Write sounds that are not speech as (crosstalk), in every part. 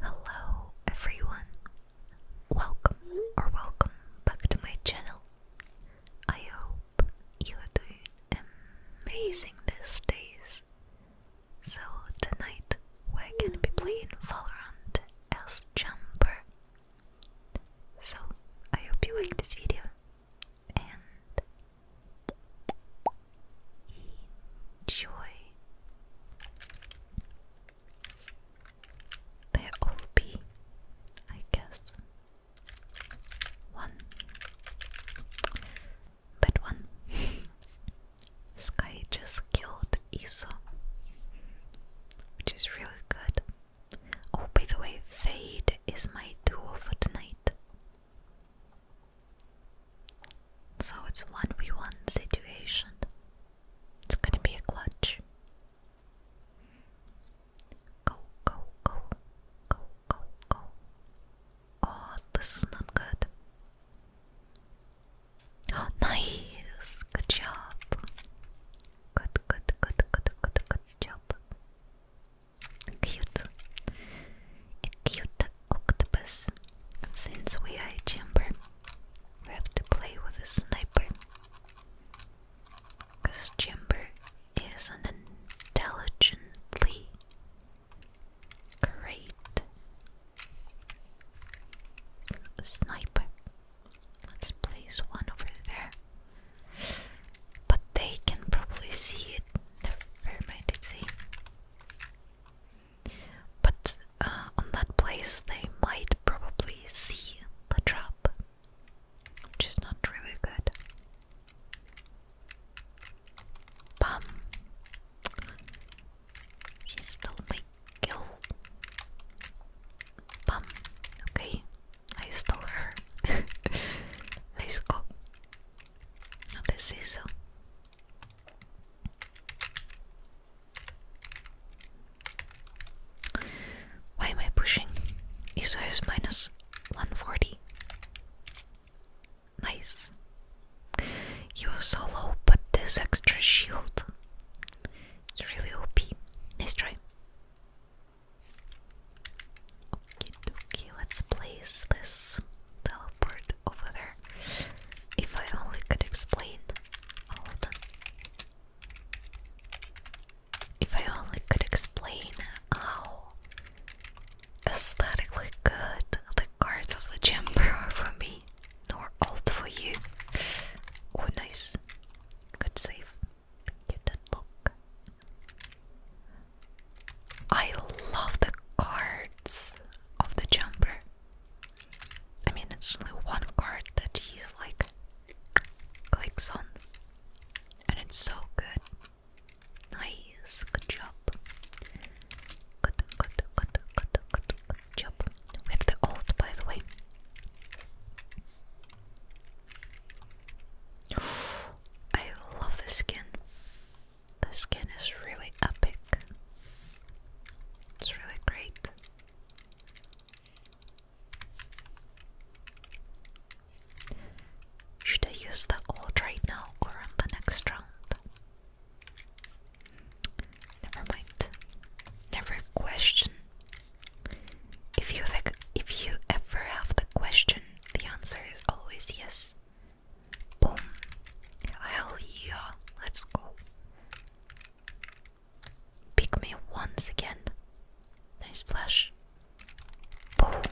Hello everyone! Welcome or welcome back to my channel. I hope you are doing amazing these days. So tonight we're gonna be playing Valorant as Jumper. So I hope you like this video and enjoy. They're OP, I guess. One. That one. (laughs) Sky just killed Iso, which is really good. Oh, by the way, Fade is my duo for tonight. So it's 1v1 situation. It's gonna be a clutch. Go, go, go. Go, go, go. Oh, this is not good. Oh, nice. Good job. Good, good, good, good, good, good job. Cute. Cute, octopus. Since we are a chamber, we have to play with a sniper. Because chamber is an intelligently great sniper. Let's place one over there. But they can probably see it. Never mind, it's a but uh, on that place, they might probably see the trap, which is not really good. Bam! He still may kill. Bam! Okay, I stole her. (laughs) Let's go. This is uh, why am I pushing? ESO minus 140. Nice. You are so low, but this extra shield. It's really OP. Nice try. okay, let's place this teleport over there. If I only could explain all If I only could explain how aesthetically good the cards of the chamber (laughs) are for me, nor alt for you. Oh, nice. Good save. Get that look. I love the cards of the jumper. I mean, it's only one card that he like clicks on, and it's so good. Nice, good job. Good, good, good, good, good, good job. We have the old, by the way. (gasps) I love this skin. The skin is really epic. It's really great. Should I use the old right now or on the next round? Never mind. Never question. If you if you ever have the question, the answer is always yes. Boom. Hell yeah. Let's go. Pick me once again. Nice flash. Boom.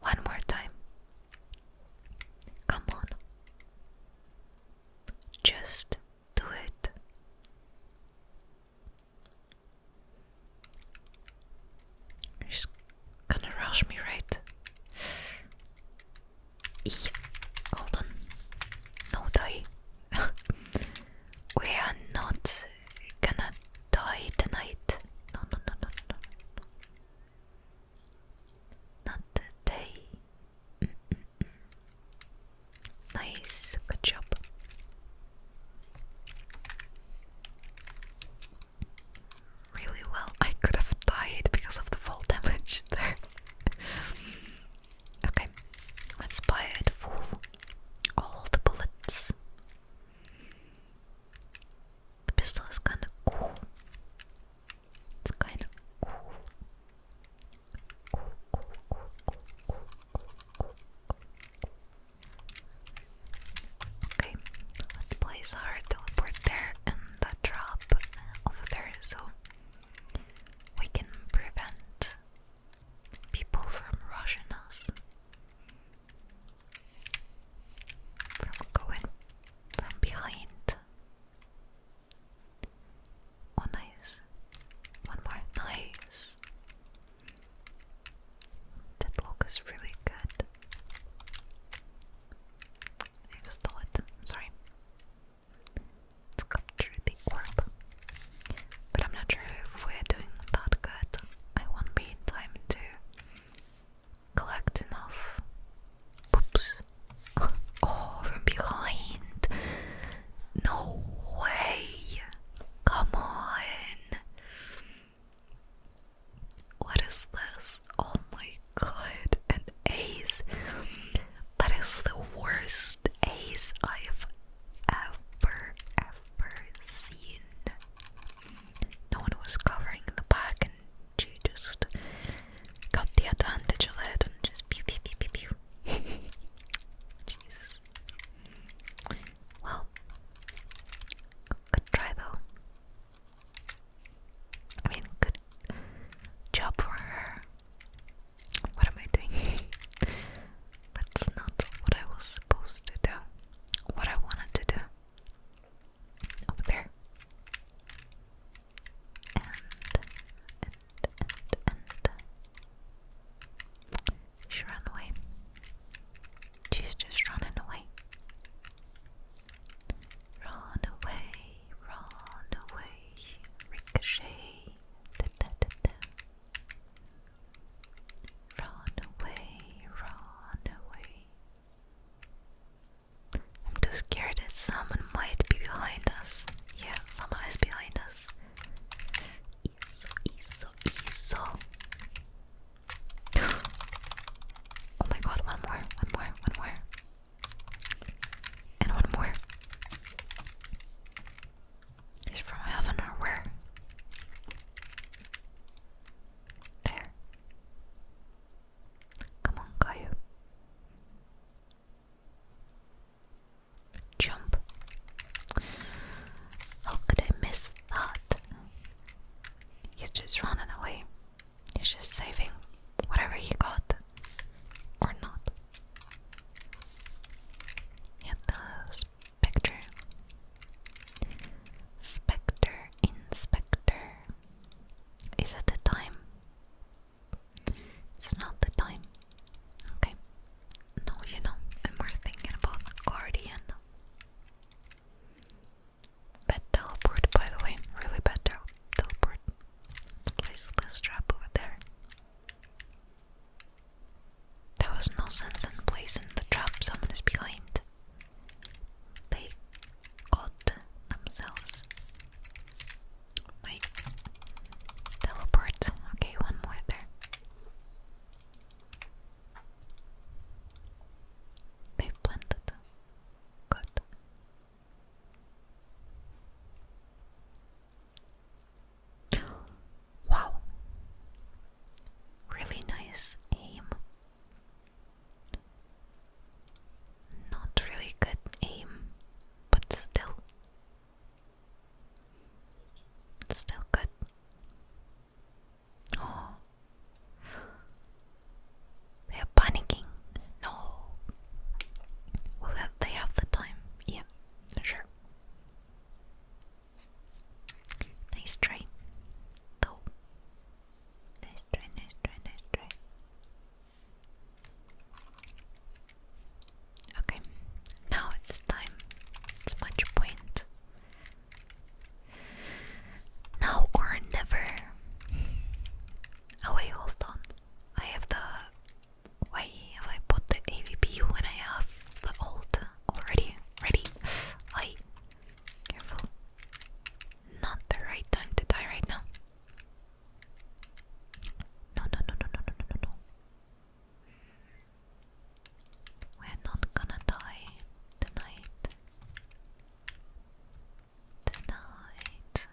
One more time. Come on. Just do it. She's gonna rush me, right? Yeah. Hold on. No die. (laughs) we are not gonna die tonight. No, no, no, no, no. Not today. Nice. Good job. Really well. I could have died because of the fall damage (laughs) there okay, let's buy it full. All the bullets. The pistol is kind of cool. It's kind of cool. Okay, let's place our teleport there and that drop over there so we can prevent people from rushing us, from going from behind. nice. One more. Nice. That look is really good. I stole it. Sorry sculpture big orb. But I'm not sure if we're doing that good. I won't be in time to collect enough poops. (laughs) Oh, from behind. No way. Come on. What is this? Oh my god, an ace. That is the worst ace I've ever, ever seen. No one was covering the back, and she just got the advantage of it and just pew pew pew pew pew. (laughs) Jesus. Well, good try though. I mean, good job for her. What am I doing? (laughs) That's not what I was supposed to do. What I wanted to do. Over there. And, and, and, and. She ran away. She's just running away. Run away, run away, ricochet. Run away, run away. I'm too scared that someone might be behind us. Yeah, someone is behind us. Iso, iso, iso. (gasps) Oh my god, one more, one more, one more. And one more. He's from heaven or where? There. Come on, Caillou. Jump. How could I miss that? He's just running away. He's just saving whatever he got. Or not. He the spectre. Spectre inspector. Is it the time? It's not the time. Okay. No, you know, I'm more thinking about Guardian. Bad teleport, by the way, really bad teleport. Let's place this trap over there. There was no sense in placing the trap someone is behind. They caught themselves. Wait. Teleport. Okay, one more there. They've planted. Good. Wow. Really nice aim. Not really good aim, but still. Still good. Oh. They are panicking. No. Will they have the time? Yeah, sure. Nice try. Though. Nice try, nice try, nice try. Okay, now it's time. It's much point. Now or never. Oh, wait, hold on. I have the. Why have I put the AVP when I have the old already? Ready? I. Careful. Not the right time to die right now. No, no, no, no, no, no, no, no. We're not gonna die tonight tonight.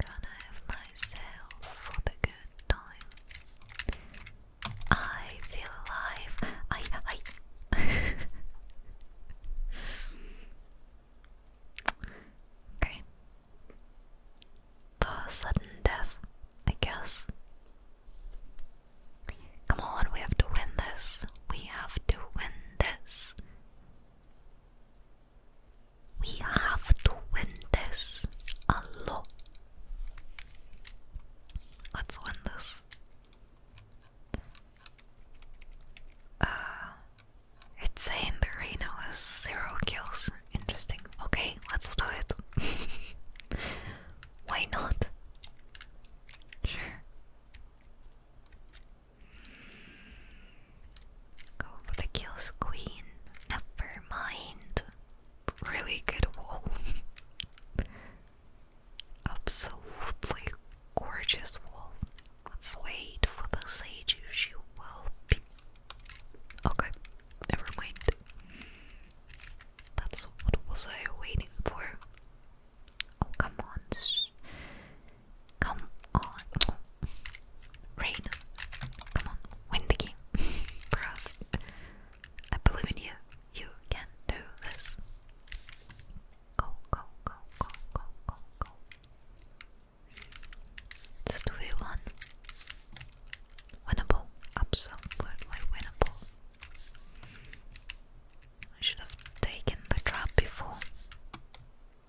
Gonna have myself for the good time. I feel alive. I I (laughs) Okay. The sudden death, I guess. Come on, we have to win this. We have to win this. We have to win this a lot. Let's win this. Uh, it's saying the Reno has zero kills. Interesting. Okay, let's do it. (laughs) Why not? Sure. Go for the kills, queen. Never mind. Really good wall. (laughs) Absolutely gorgeous wall. Let's wait for the sage. She will be. Okay, never mind. That's what was I waiting for? Oh come on! Come on. Rain. Come on. Win the game. (laughs) For I believe in you. You can do this. Go, go, go, go, go, go, go. It's 2v1. Winnable. Absolutely winnable. I should have taken the trap before.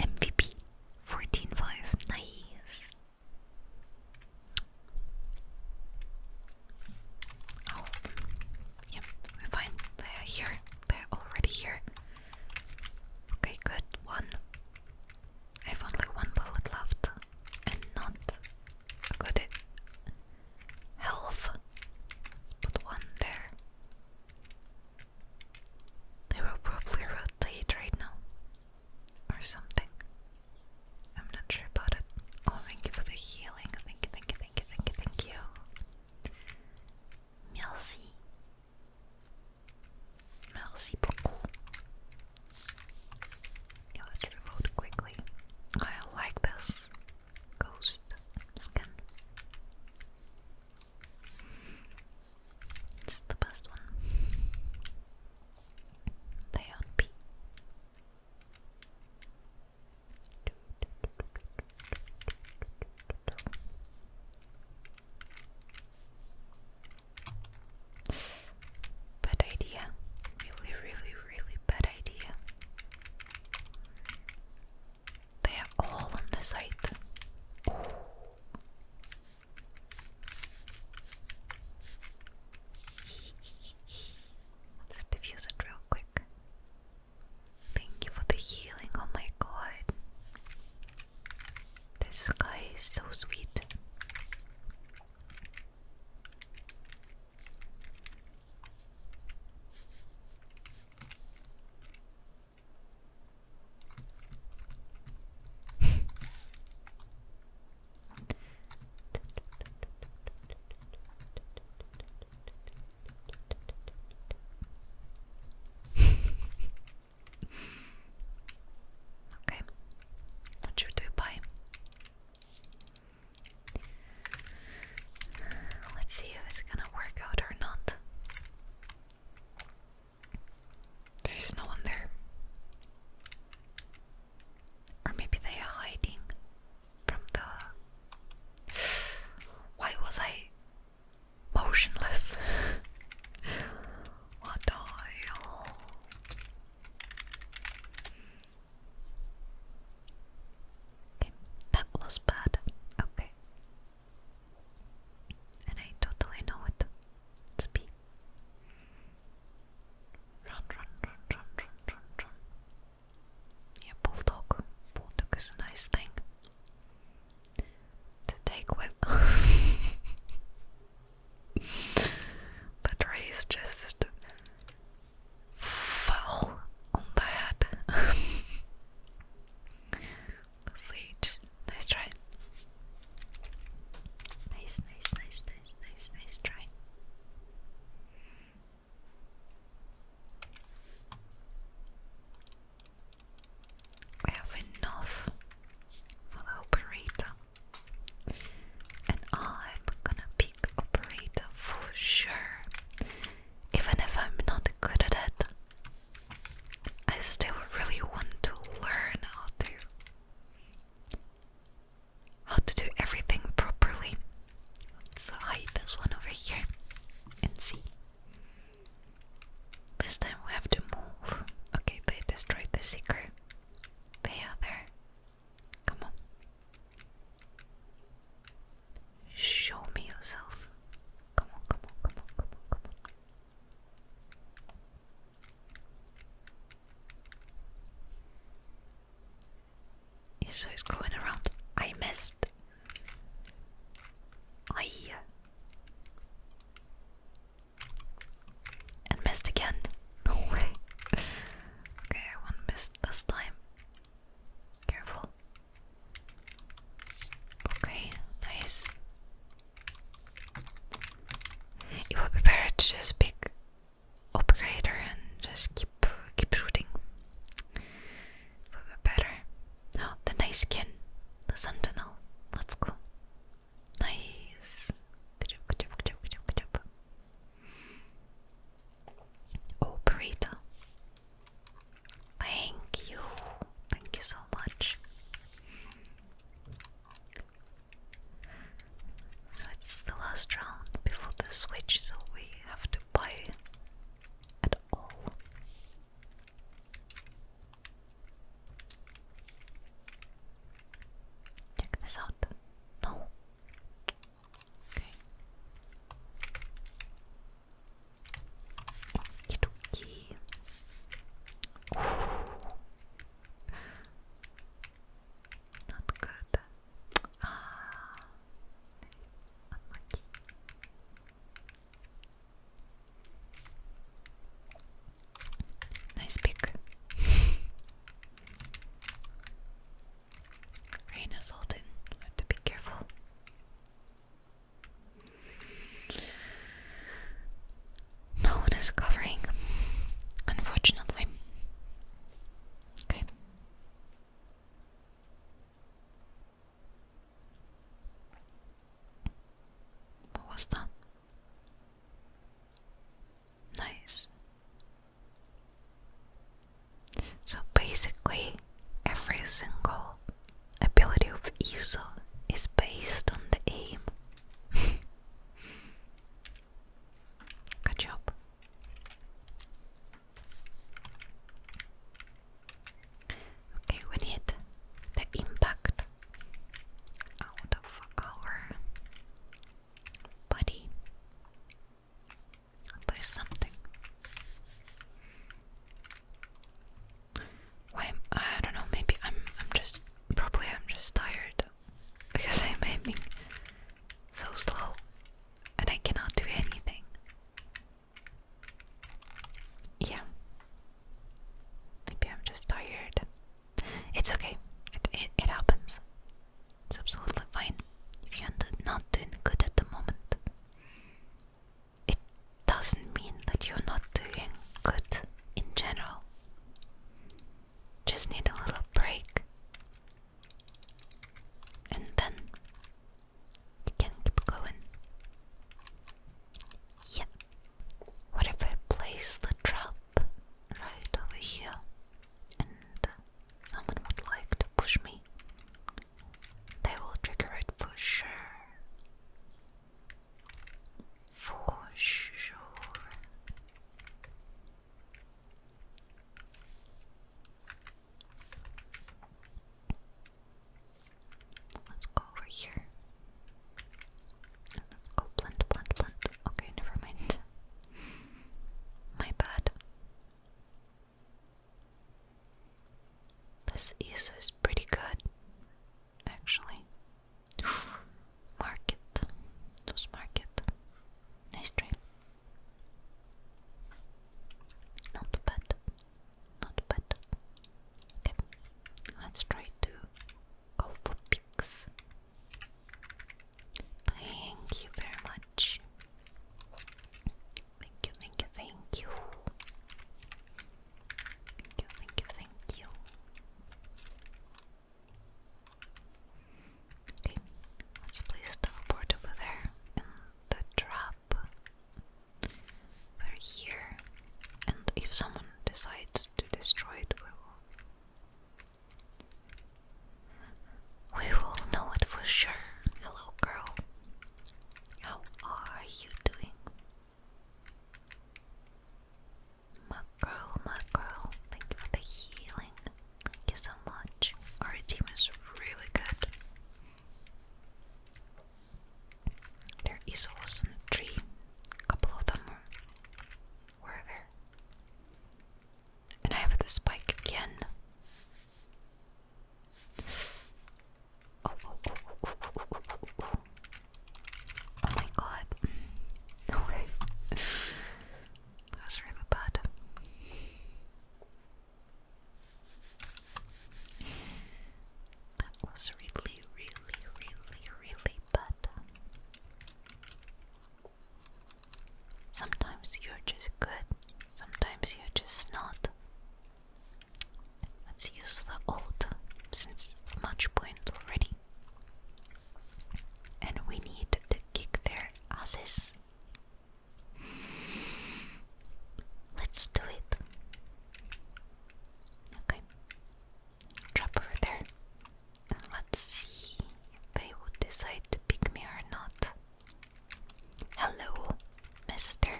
MVP 14.5. Nice. Oh, yep, we're fine. They're here. They're already here. Okay, good. One. I have only one bullet left, and not a good health. put one there. They will probably rotate right now or something. I'm not sure about it. Oh, thank you for the healing. Thank you, thank you, thank you, thank you, thank you. Merci. Merci beaucoup. Yeah, let's reload quickly. I like this ghost skin. It's the best one. They own P. Bad idea. Really, really, really bad idea. They are all on the site. Let's diffuse it real quick. Thank you for the healing. Oh my god. This guy is so sweet. (laughs) okay, what should we buy? Let's see if it's gonna work out or not. There's no one there. Or maybe they are hiding from the. Why was I motionless? (laughs) what the hell? Okay, that was bad. Okay. And I totally know it to be. Run, run, run, run, run, run, run. Yeah, bulldog. Bulldog is a nice thing to take with. but (laughs) Ray's just fell on the head. (laughs) Sweet. Nice try. Nice, nice, nice, nice, nice, nice try. We have enough for operator. And I'm gonna pick operator for sure. Even if I'm not good at it, I still really want to learn how to how to do everything properly. Let's hide this one over here and see. This time we have to move. Okay, they destroyed the seeker. They are Come on. Show me yourself. Come on, come on, come on, come on, come on. So he's going around. I missed. I and missed again. (laughs) No way. okay, one missed this time. Careful. Okay, nice. It would be better to just pick operator and just keep keep rooting. would be better. Oh, the nice skin, the sentinel. Let's go. Nice. Good job, good job, good Operator. Thank you. Thank you so much. So it's the last round before the switch, so we have to buy at all. Check this out. No. Okay. Not good. Ah, Nice pick. Rain assaulted. Have to be careful. No one is covering, unfortunately. Okay. What was that? Nice. So basically, every single ability of Iso is based on the aim. (laughs) Good job. Okay, we need the impact out of our body. There's something. Why? I don't know. Maybe I'm. I'm just. Probably I'm just tired (laughs) because I'm aiming so slow, and I cannot do anything. Yeah. Maybe I'm just tired. It's okay. it, it happens. It's absolutely fine if you're not doing good at the moment it doesn't mean that you're not doing good in general. Just need a little break. And then you can keep going. Yeah. What if I place the trap right over here and someone would like to push me? They will trigger it for sure. For sure. Let's go over here. let's go plant, plant, plant. Okay, never mind. My bad. This is pretty good, actually. (sighs) Market, those market, nice dream. Not bad, not bad. Okay, let's try to go for pigs. Thank you very much. Thank you, thank you, thank you. Thank you, thank you, thank you. Okay, let's place the board over there and the trap over here. And if someone decides to destroy it, we will. know it for sure. Hello, girl. How are you doing? Mackerel, Mackerel, thank you for the healing. Thank you so much. Our team is really good. There is also a tree. A couple of them were there. And I have this spike again. Oh, my god. (laughs) No way. that was really bad. That was really, really, really, really bad. Sometimes you're just good, sometimes you're just not. Let's use the old since it's the match point already. And we need to kick their asses. Let's do it. Okay. Drop over there. And let's see if they would decide to pick me or not. Hello, mister.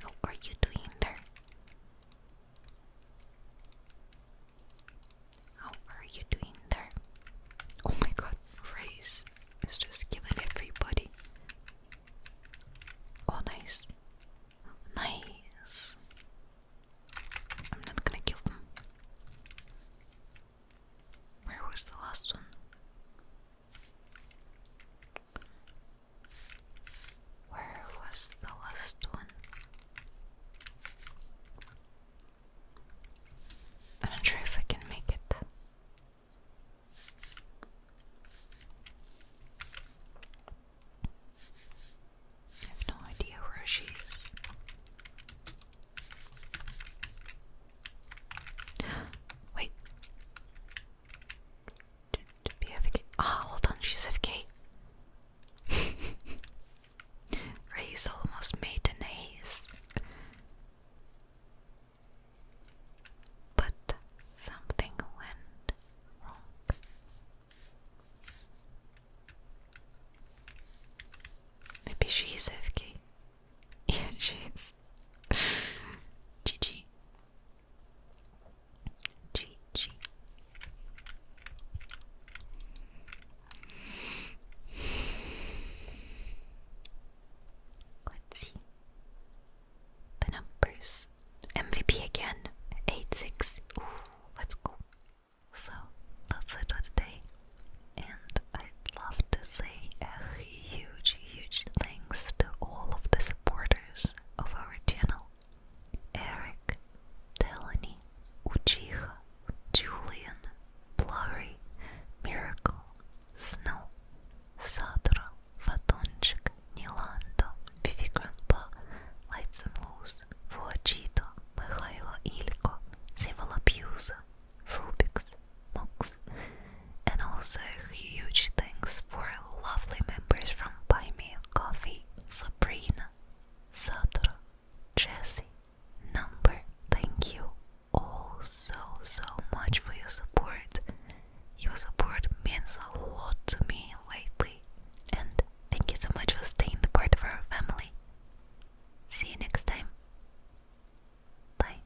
How are you doing there? How are you doing there? Oh my god, race is just giving everybody. Oh, nice. Nice. I'm not gonna kill them. Where was the last one? Where was the last one? I'm not sure if I can make it. I have no idea where she is. Wait, Ah, oh, hold on, she's FK. (laughs) Ray's almost made an ace. But something went wrong. Maybe she's FK. (laughs) Yeah, she is. GG. GG. Let's see. The numbers. MVP again. 8-6. Ooh, let's go. So, that's it for today. And I'd love to say... Eh, huge, huge thanks to all of the supporters of our channel Eric, Teleny, Uchiha, Julian, Blurry, Miracle, Snow, Sadra, Fatonchik, Nilando, Vivi Grandpa, Lights and Loose, Vuachito, Mikhailo Ilko, Sivalabuse, Rubix, mugs, and also huge thanks for lovely members from Buy Me a Coffee, Sabrina, Sadra, Jesse, Number. Thank you all so so much for your support. Your support means a lot to me lately, and thank you so much for staying the part of our family. See you next time. Bye.